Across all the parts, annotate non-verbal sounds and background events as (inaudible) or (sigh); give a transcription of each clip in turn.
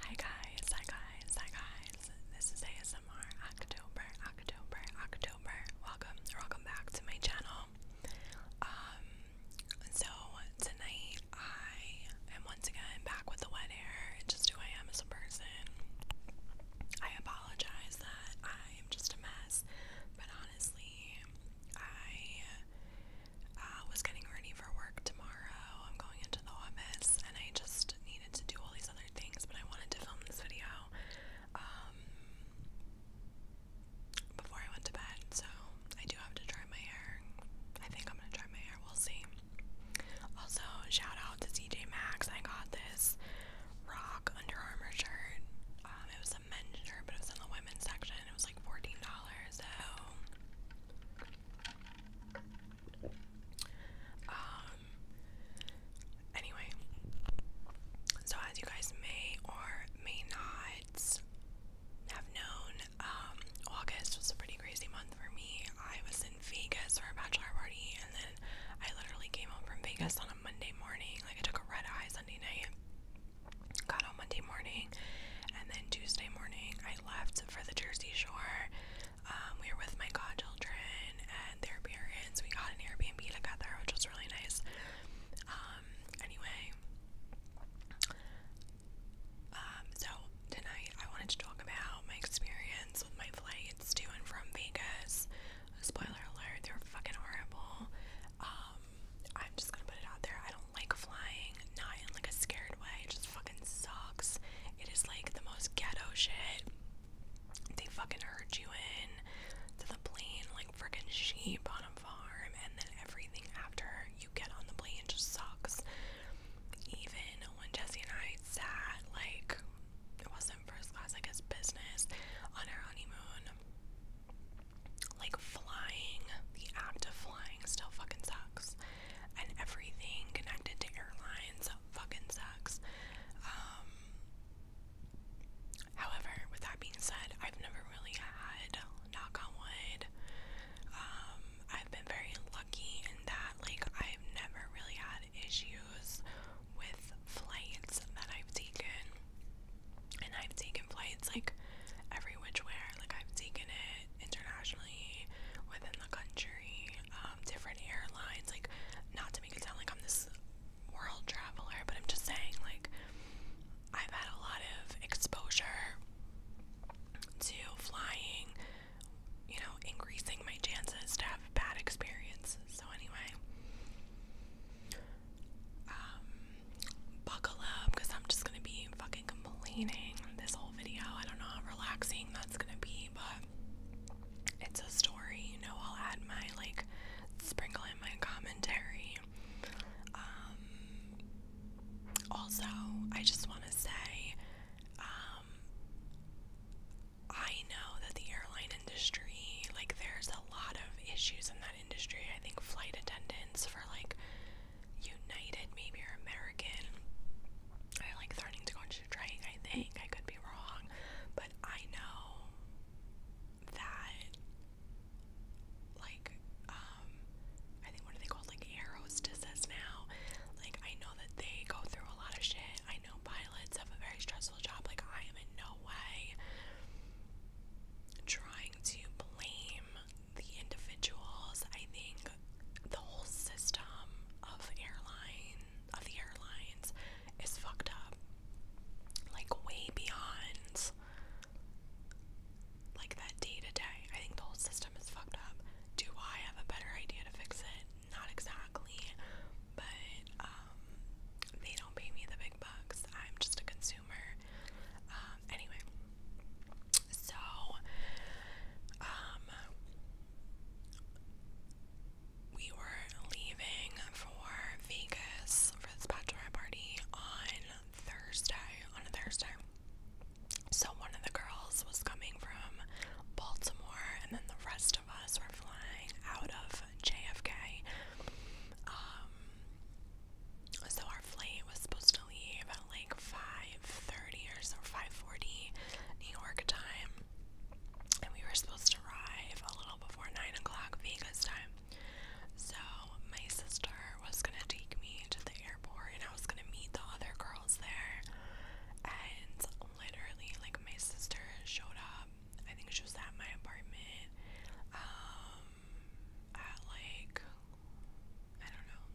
Hi guys, hi guys, hi guys. This is ASMR October, October, October. Welcome, welcome back to my channel. Um, so tonight I am once again back with the wet hair. just who I am as a person. I apologize that I am just a mess, but honestly, I I was getting ready for work tomorrow. I'm going into the office and I just needed to do all these other things, but I wanted to film this video um, before I went to bed. So I do have to dry my hair. I think I'm gonna dry my hair. We'll see. Also, shout out to TJ Maxx. I got this rock Under Armour shirt. Um, it was a men's shirt, but it was in the women's section. It was like fourteen dollars. So um, anyway, so as you guys may or may not have known, um, August was a pretty crazy month for me. I was in Vegas for a bachelor party, and then I literally came home from Vegas on a Monday morning. Like, I took a red eye Sunday night, got on Monday morning, and then Tuesday morning, I left for the Jersey Shore, um, we were with my godchildren and their parents. We got an Airbnb together, which was really nice. Um, anyway, um, so tonight I wanted to talk about my experience with my flights to and from Vegas. Spoiler alert, they were fucking horrible. I'm just gonna put it out there. I don't like flying, not in like a scared way. It just fucking sucks. It is like the most ghetto shit. They fucking herd you in to the plane like freaking sheep on a farm, and then everything after you get on the plane just sucks. Even when Jesse and I sat, like, it wasn't first class, I guess business, on our honeymoon, like flying, the act of flying still fucking sucks and everything connected to airlines fucking sucks. Um, however, with that being said, I've never really had knock on wood. Um, I've been very lucky in that, like, I've never really had issues with flights that I've taken. And I've taken flights like every which way. like, I've taken it internationally within the country, um, different airlines. Like, not to make it sound like I'm this world traveler, but I'm just saying, like, I've had a lot of exposure to flying, you know, increasing my chances to have bad experiences. So, anyway, um, buckle up because I'm just gonna be fucking complaining this whole video. I don't know how relaxing that's gonna be, but it's a story, you know. I'll add my like sprinkle in my commentary. Um, also, I just want to say, um, I know that the airline industry, like, there's a lot of issues in that industry. I think flight attendants for like United, maybe you're American. I like threatening to go into training. I think I could be wrong, but I know that, like, um, I think what are they called? Like Arrows now. Like, I know that they go through a lot of shit. I know pilots have a very stressful job. Like, I am in no way trying to blame the individuals, I think the whole system of airline of the airlines is fucked up. Like way beyond like that day to day. I think the whole system is fucked up. Do I have a better idea to fix it? Not exactly. But um they don't pay me the big bucks. I'm just a consumer. Um, um, anyway, so um, we were leaving for Vegas for this bachelorette party on Thursday. On a Thursday, so one of the girls was coming from Baltimore, and then the rest of us were flying out of JFK. Um, so our flight was supposed to leave at like 5 5:30 or so, 5:40 New York time, and we were supposed to arrive a little before 9 o'clock Vegas time. So my sister was gonna take me to the airport, and I was gonna meet the other girls there. And literally, like my sister showed up. I think she was at my apartment um, at like I don't know.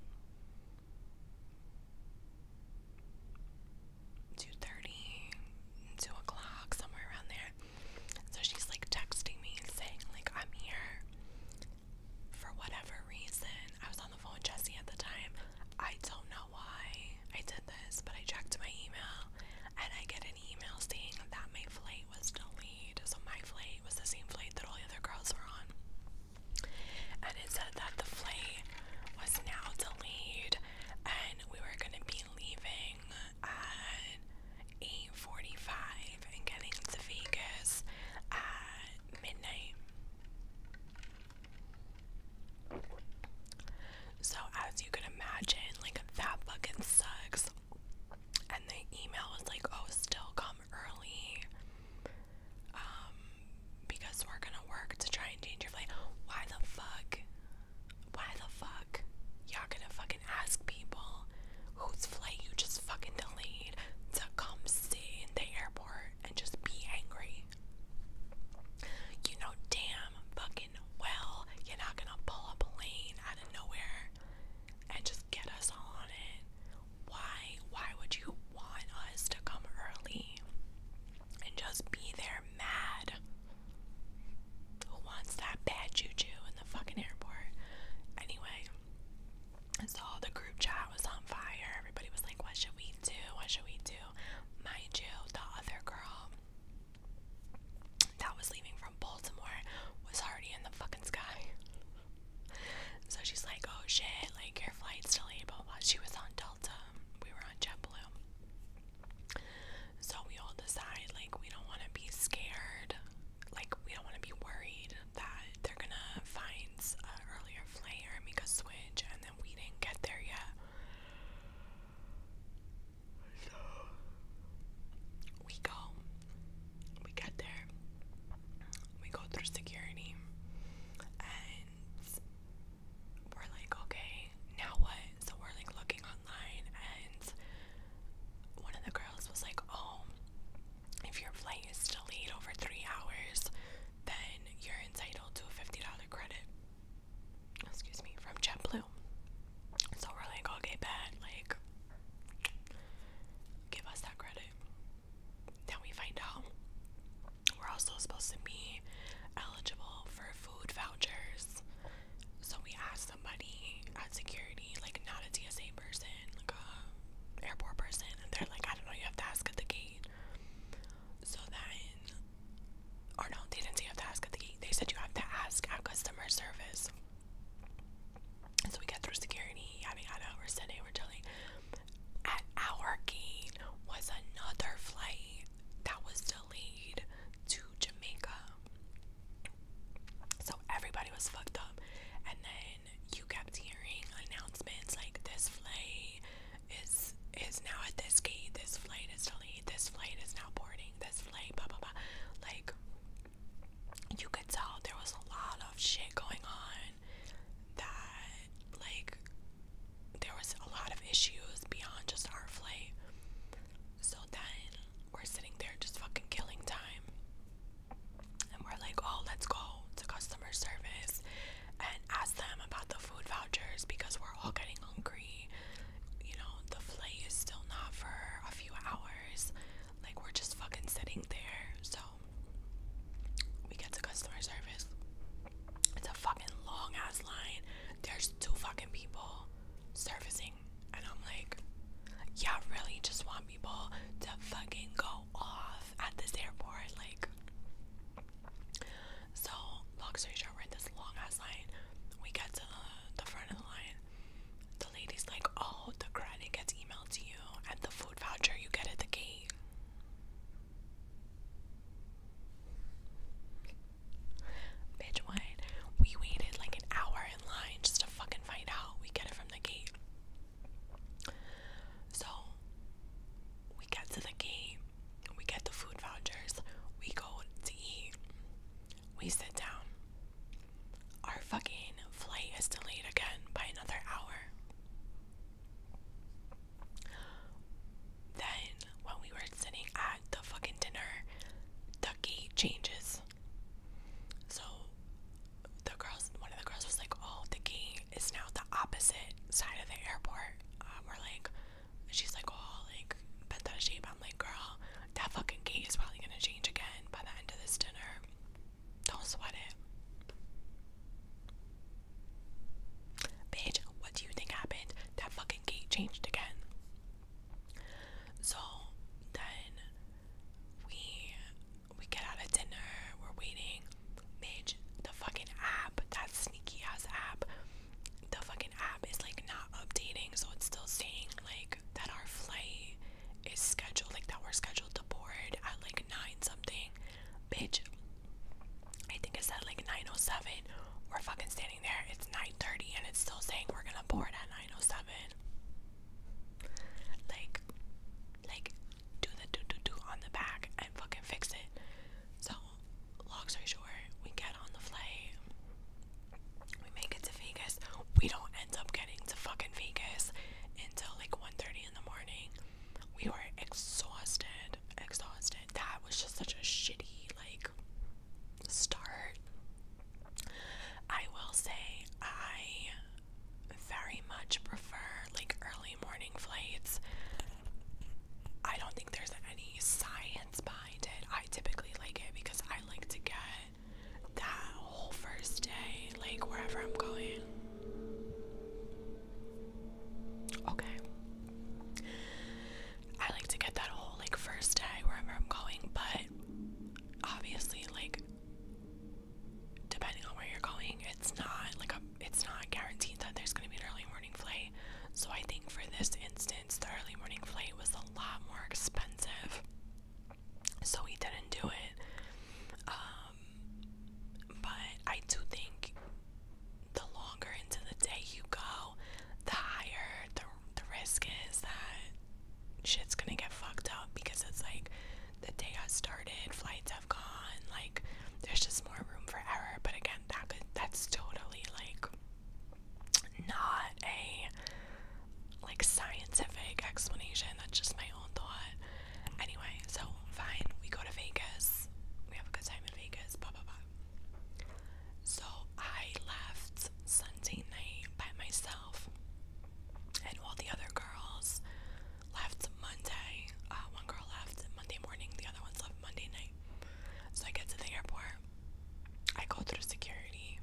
2.30, o'clock, somewhere around there. So she's like texting me and saying like, I'm here for whatever reason. I was on the phone with Jesse at the time. I don't know why I did this, but I checked my email and I get an email saying that my flight was delayed. So my flight was the same flight that all the other girls were on and it said that the flight was now delayed and we were going to be leaving at 8:45 and getting to Vegas at midnight. So as you can imagine, like that fucking sucks. And the email was like, "Oh, still coming." Um, early um, because we're gonna work to try and change your flight. Why the fuck? Why the fuck? Y'all gonna fucking ask people whose flight you just fucking delayed to come see in the airport and just be angry. You know damn fucking well you're not gonna pull a plane out of nowhere and just get us on it why why would you want us to come early and just be there mad? Who wants that bad juju in the fucking airport? Anyway, so the group chat was on fire. Everybody was like, what should we do? What should we do? Mind you, the other girl that was leaving from Baltimore was already in the fucking sky. So she's like, oh shit, like your flight's delayed, But She was on Delta, we were on JetBlue. So we all decide, like, we don't want to be scared. Like, we don't want to be worried that they're going to find an earlier flight or make a switch, and then we didn't get there yet. So (sighs) we go. We get there we go through security and we're like, okay, now what? So we're like looking online and one of the girls was like, oh, if your flight is delayed over three hours, then you're entitled to a $50 credit, excuse me, from JetBlue. So we're like, okay, bad, like, give us that credit. Now we find out we're also supposed to be eligible for food vouchers. So we ask somebody at security, like not a TSA person, like a airport person, and they're like, I don't know, you have to ask at the gate. So then, or no, they didn't say you have to ask at the gate. They said you have to ask at customer service. so we get through security, I yada know We're sitting, we're chilling. At our gate was another flight that was delayed to Jamaica. So everybody was fucked up. And then you kept hearing announcements like this flight is is now at this gate, this flight is delayed, this flight is now boarding, this flight, blah blah blah. Like you could tell there was a lot of shit going on that like there was a lot of issues beyond just our flight. So then we're sitting there just fucking killing time. And we're like, oh, let's go to customer service and ask them about the food vouchers because we're all getting hungry. You know, the flight is still not for a few hours. Like, we're just fucking sitting there. So we get to customer service. It's a fucking long ass line. There's two fucking people servicing, and I'm like, yeah, really, just want people to fucking go off at this airport, like. So, long story short, we're in this long ass line. We get to the, the front of the line. The lady's like, oh, the credit gets emailed to you, and the food voucher you get at the gate. Bitch, what? We waited like an hour in line just to fucking find out. We get it from the gate. So we get to the gate, we get the food vouchers, we go to eat, we sit down. Our fucking flight is delayed again by another hour. Then, when we were sitting at the fucking dinner, the gate changes. So, the girls, one of the girls was like, Oh, the gate is now the opposite side of the airport. Um, we're like, She's like, Oh, like, bet that shape. I'm like, Girl, that fucking gate is probably gonna change again by the end of this dinner. Don't sweat it. Bitch, what do you think happened? That fucking gate changed again. So then we we get out of dinner, we're waiting. Bitch, the fucking app, that sneaky ass app, the fucking app is like not updating, so it's still saying like that our flight is scheduled, like that we're scheduled to board at like nine something. Bitch, I think it said like 9.07. We're fucking standing there. It's 9.30 and it's still saying we're gonna board at 9.07. Like, like, do the do-do-do on the back and fucking fix it. So, long story short, we get on the flight. We make it to Vegas. We don't end up getting to fucking Vegas until like 1.30 in the morning we were exhausted, exhausted. That was just such a shitty like start. I will say I very much prefer like early morning flights. I don't think there's any science behind it. I typically like it because I like to get that whole first day, like wherever I'm going. Okay. I like to get that whole like first day wherever I'm going, but obviously like depending on where you're going, it's not like a it's not guaranteed that there's gonna be an early morning flight. So I think for this instance the early morning flight was a lot more expensive. So we didn't do it. Um, um, but I do think the longer into the day you go, the higher the, the risk is that shit's gonna get fucked up because it's like the day has started, flights have gone, like there's just more room for error. But again, that could that's totally like not a like scientific explanation. That's just my own thought. Anyway, so fine, we go to Vegas. We have a good time in Vegas, blah blah blah. So I left Sunday night by myself, and all the other girls left Monday. Uh, one girl left Monday morning, the other ones left Monday night. So I get to the airport. I go through security.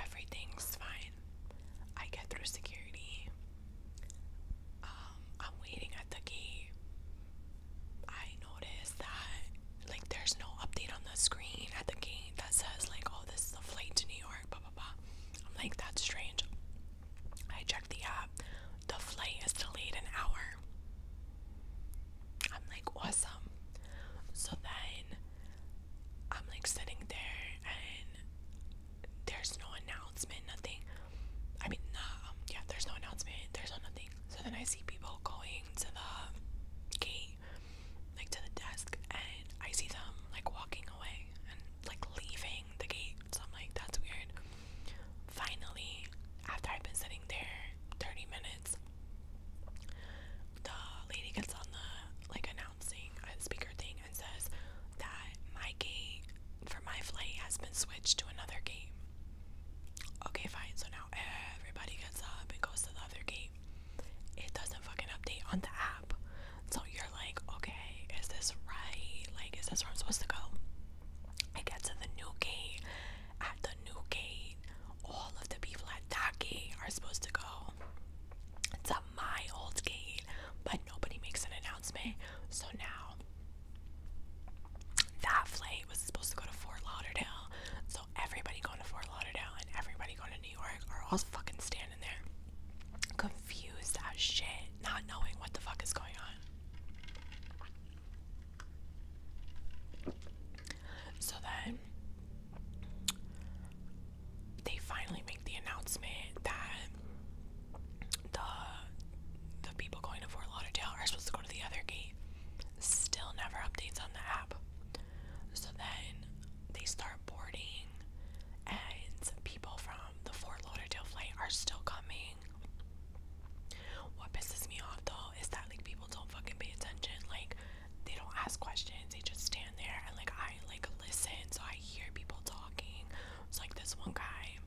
Everything's fine. I get through security. Um, I'm waiting at the gate. I noticed that like there's no update on the screen at the gate that says like, oh, this is a flight to New York, blah blah blah. I'm like, that's strange. I checked the app. The flight is delayed an hour. I'm like, awesome. So then I'm like sitting there and there's no announcement nothing. I mean, um, yeah, there's no announcement, there's no nothing. So then I see people going to the gate, like to the desk, and I see them like walking away and like leaving the gate. So I'm like, that's weird. Finally, after I've been sitting there 30 minutes, the lady gets on the like announcing uh, speaker thing and says that my gate for my flight has been switched to another gate. Okay, fine. So now everybody gets up and goes to the other gate. It doesn't fucking update on the app. So you're like, okay, is this right? Like, is this where I'm supposed to go? I get to the new gate. At the new gate, all of the people at that gate are supposed to go to my old gate, but nobody makes an announcement. So now that flight was supposed to go to Fort Lauderdale. So everybody going to Fort Lauderdale and everybody going to New York are all fucking standing there. Confused as shit, not knowing what the fuck is going on. So then they finally make the announcement that the the people going to Fort Lauderdale are supposed to go to the other gate. Still never updates on the app. So then they start boarding, and people from the Fort Lauderdale flight are still coming. What pisses me off though is that like people don't fucking pay attention. Like they don't ask questions. They just stand there and like I like listen, so I hear people talking. It's like this one guy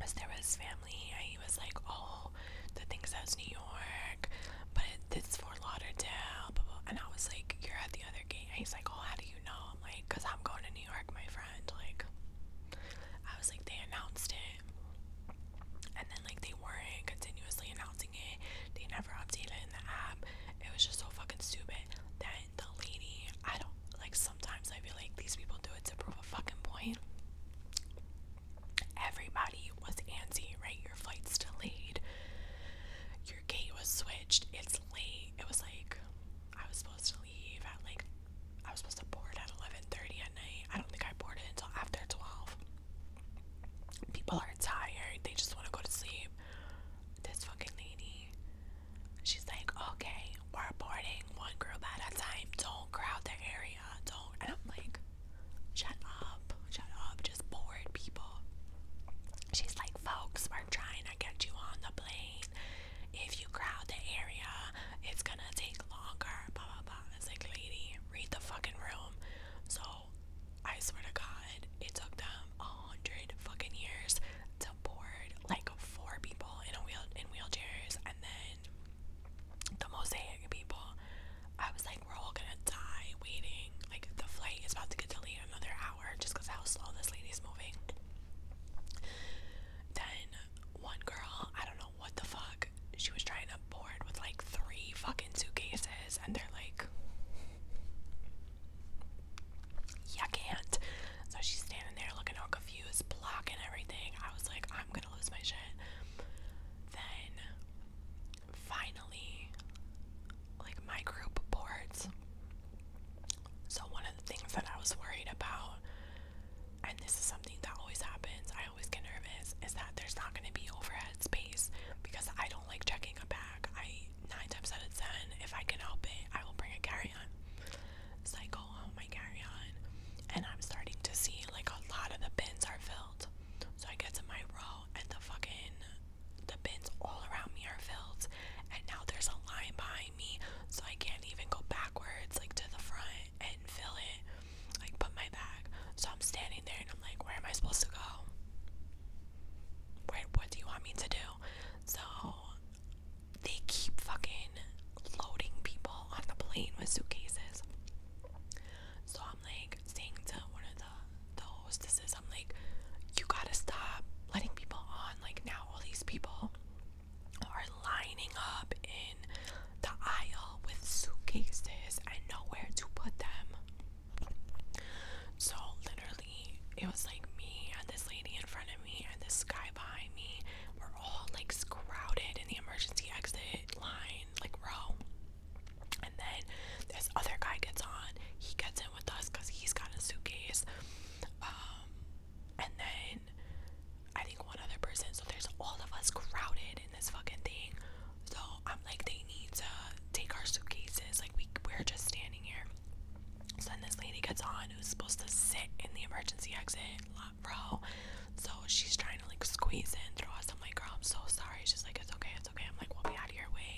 was there was family. I was like, oh, the things that was New York, but this for Lauderdale. Blah, blah. And I was like, you're at the other gate. And he's like, oh, how do you know? I'm like, cause I'm going to New York, my friend. Like, I was like, they announced it, and then like they weren't continuously announcing it. They never updated it in the app. It was just so fucking stupid. That the lady, I don't like sometimes I feel like these people do it to prove a fucking point. Everybody was antsy, right? Your flight's delayed. Your gate was switched. It's late. It was like I was supposed to leave at like I was supposed to board at 11:30 at night. I don't think I boarded until after 12. People are tired. They just want to go to sleep. This fucking lady. She's like, "Okay, we're boarding one group at a time. Don't crowd the area. Don't. I'm like, shut up, shut up. Just board people. She's like, folks, we're trying to get you on the plane. If you crowd the area, it's gonna take longer. Blah blah blah. It's like, lady, read the fucking room. So, I swear to God, it took them a hundred fucking years to board like four people in a wheel in wheelchairs, and then the mosaic people. I was like, we're all gonna die waiting. Like the flight is about to get delayed another hour just because how slow this lady's moving. Then one girl, I don't know what the fuck, she was trying to board with like three fucking suitcases, and they're like, you can't. So she's standing there looking all confused fuse block and everything. I was like, I'm gonna lose my shit. Then finally, like my group boards. So, one of the things that I was worried about, and this is something that always happens, I always get nervous, is that there's not going to be overhead space because I don't like checking a bag. I, nine times out of ten, if I can help it, I will bring a carry on cycle oh on my carry-on and I'm starting to see like a lot of the bins are filled. So I get to my row and the fucking the bins all around me are filled and now there's a line behind me so I can't even go backwards like to the front and fill it like put my bag. So I'm standing there and I'm like where am I supposed to go? Where what do you want me to do? So they keep fucking loading people on the plane with suitcases. So I'm like saying to one of the, the hostesses, I'm like, you gotta stop letting people on. Like now all these people are lining up in the aisle with suitcases and nowhere to put them. So literally it was like me and this lady in front of me and this guy behind me. we all like crowded in the emergency exit line, like row. And then this other guy gets on. He gets in with us because he's got a suitcase. Um, and then I think one other person. So there's all of us crowded in this fucking thing. So I'm like, they need to take our suitcases. Like we we're just standing here. So then this lady gets on who's supposed to sit in the emergency exit line lot So she's trying to like squeeze in through us. I'm like, girl, I'm so sorry. She's like, it's okay, it's okay. I'm like, we'll be out of your way.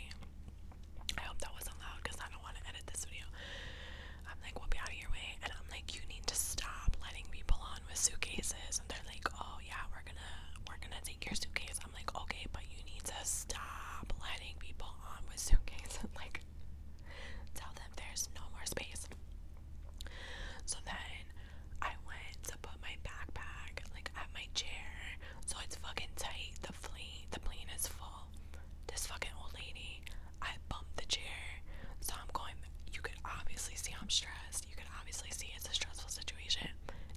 I hope that wasn't loud because I don't want to edit this video. I'm like, we'll be out of your way. And I'm like, you need to stop letting people on with suitcases. And they're like, oh yeah, we're gonna we're gonna take your suitcase. I'm like, okay, but you need to stop letting people on with suitcases. (laughs) like, tell them there's no more space. So then I went to put my backpack like at my chair. So it's fucking tight. The plane the plane is full. This fucking old lady, I bumped the chair. So I'm going you can obviously see I'm stressed. You can obviously see it's a stressful situation.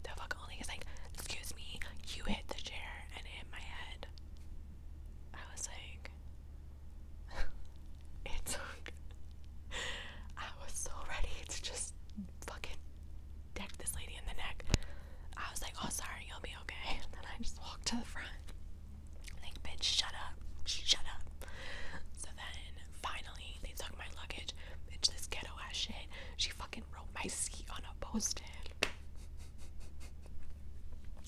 The fucking old lady is like, excuse me, you hit the chair and it hit my head. I was like, (laughs) it I was so ready to just fucking deck this lady in the neck. I was like, oh, sorry, you'll be okay. (laughs) then I just walked to the front. Like, bitch, shut up. Shut up. So then finally, they took my luggage. Bitch, this ghetto ass shit. She fucking wrote my (laughs) seat on a post it.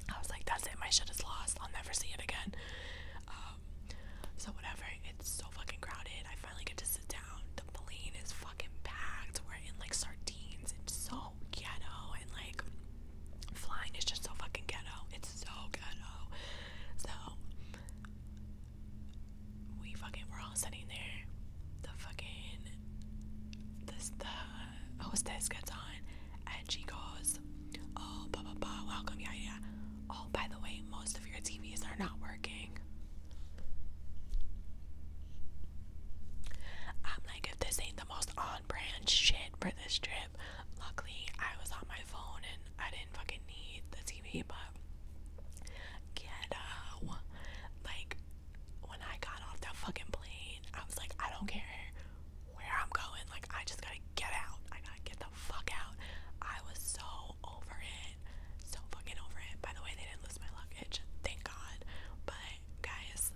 I was like, that's it. My shit is lost. I'll never see it again. Uh, so whatever, it's so fucking crowded. I finally get to sit down. The plane is fucking packed. We're in like sardines. It's so ghetto and like flying is just so fucking ghetto. It's so ghetto. So we fucking we're all sitting there. The fucking this the hostess gets on and she goes, Oh, blah, blah, blah, welcome, yeah, yeah. Oh, by the way, most of your TVs are not working. I'm like, if this ain't the most on brand shit for this trip, luckily I was on my phone and I didn't fucking need the TV, but ghetto. Like, when I got off that fucking plane, I was like, I don't care where I'm going. Like, I just gotta get out. I gotta get the fuck out. I was so over it. So fucking over it. By the way, they didn't lose my luggage. Thank God. But, guys,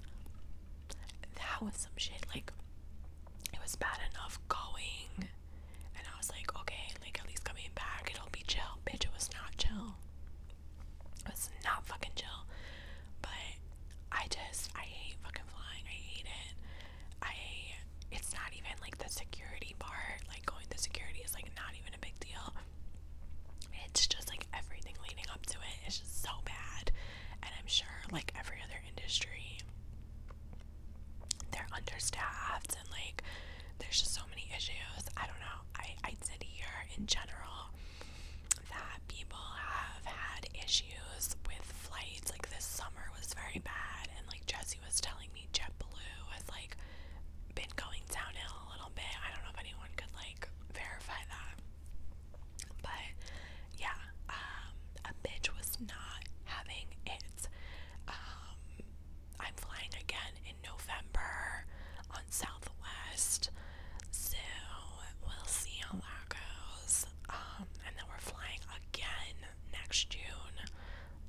that was some shit. Like, it was bad enough going. And I was like, okay, like, at least coming back, it'll be chill. Bitch, it was not chill. It was not fucking chill. But, I just, I hate fucking flying. I hate it. I it's not even like the security part, like going through security is like not even a big deal. It's just like everything leading up to it is just so bad. And I'm sure like every other industry they're understaffed and like there's just so many issues. I don't know. I I would did here in general that people have had issues with flights. Like this summer was very bad and like. Jesse was telling me, JetBlue has like been going downhill a little bit. I don't know if anyone could like verify that, but yeah, um, a bitch was not having it. Um, I'm flying again in November on Southwest, so we'll see how that goes. Um, and then we're flying again next June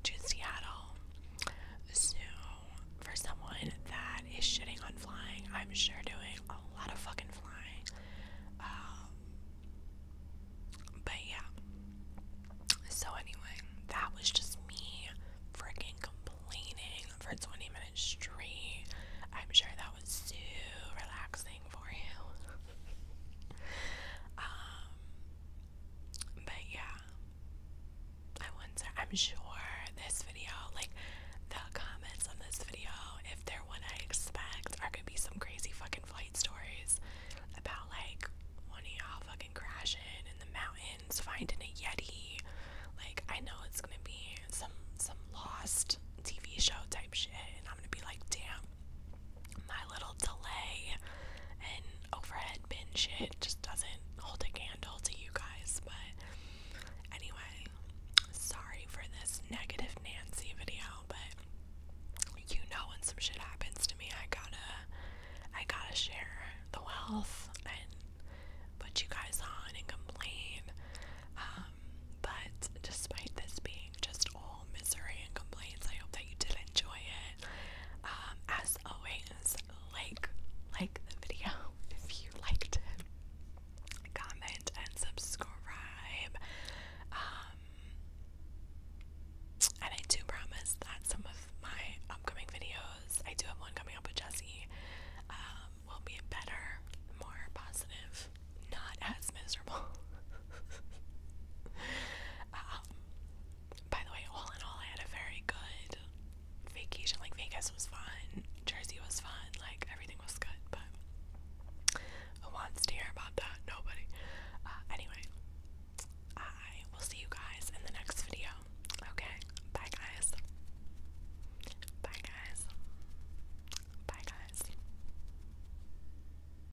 to Seattle. So, for someone that is shitting on flying, I'm sure doing a lot of fucking flying. Um, but yeah. So, anyway, that was just me freaking complaining for 20 minutes straight. I'm sure that was so relaxing for you. (laughs) Um, but yeah, I wonder. I'm sure this video, like the comments on this video, if they're what I expect, are gonna be some crazy fucking flight stories about like one of y'all fucking crashing in the mountains, finding a yeti. Like I know it's gonna be some some lost TV show type shit, and I'm gonna be like, damn, my little delay and overhead bin shit just doesn't hold a candle to you guys. But anyway, sorry for this negative Nancy video, but you know when some shit happens to me, I gotta, I gotta share the wealth and put you guys on and complain. Um, but despite this being just all misery and complaints. I hope that you did enjoy it. Um, as always, like like the video (laughs) if you liked it. Comment and subscribe. Um, and I do promise that some of my upcoming videos, I do have one coming up with Jessie, um, will be better, more positive, not as miserable. (laughs) (laughs) Um, by the way, all in all, I had a very good vacation. Like, Vegas was fun, Jersey was fun, like, everything was good, but who wants to hear about that? Nobody. Uh, anyway, I will see you guys in the next video. Okay? Bye, guys. Bye, guys. Bye, guys.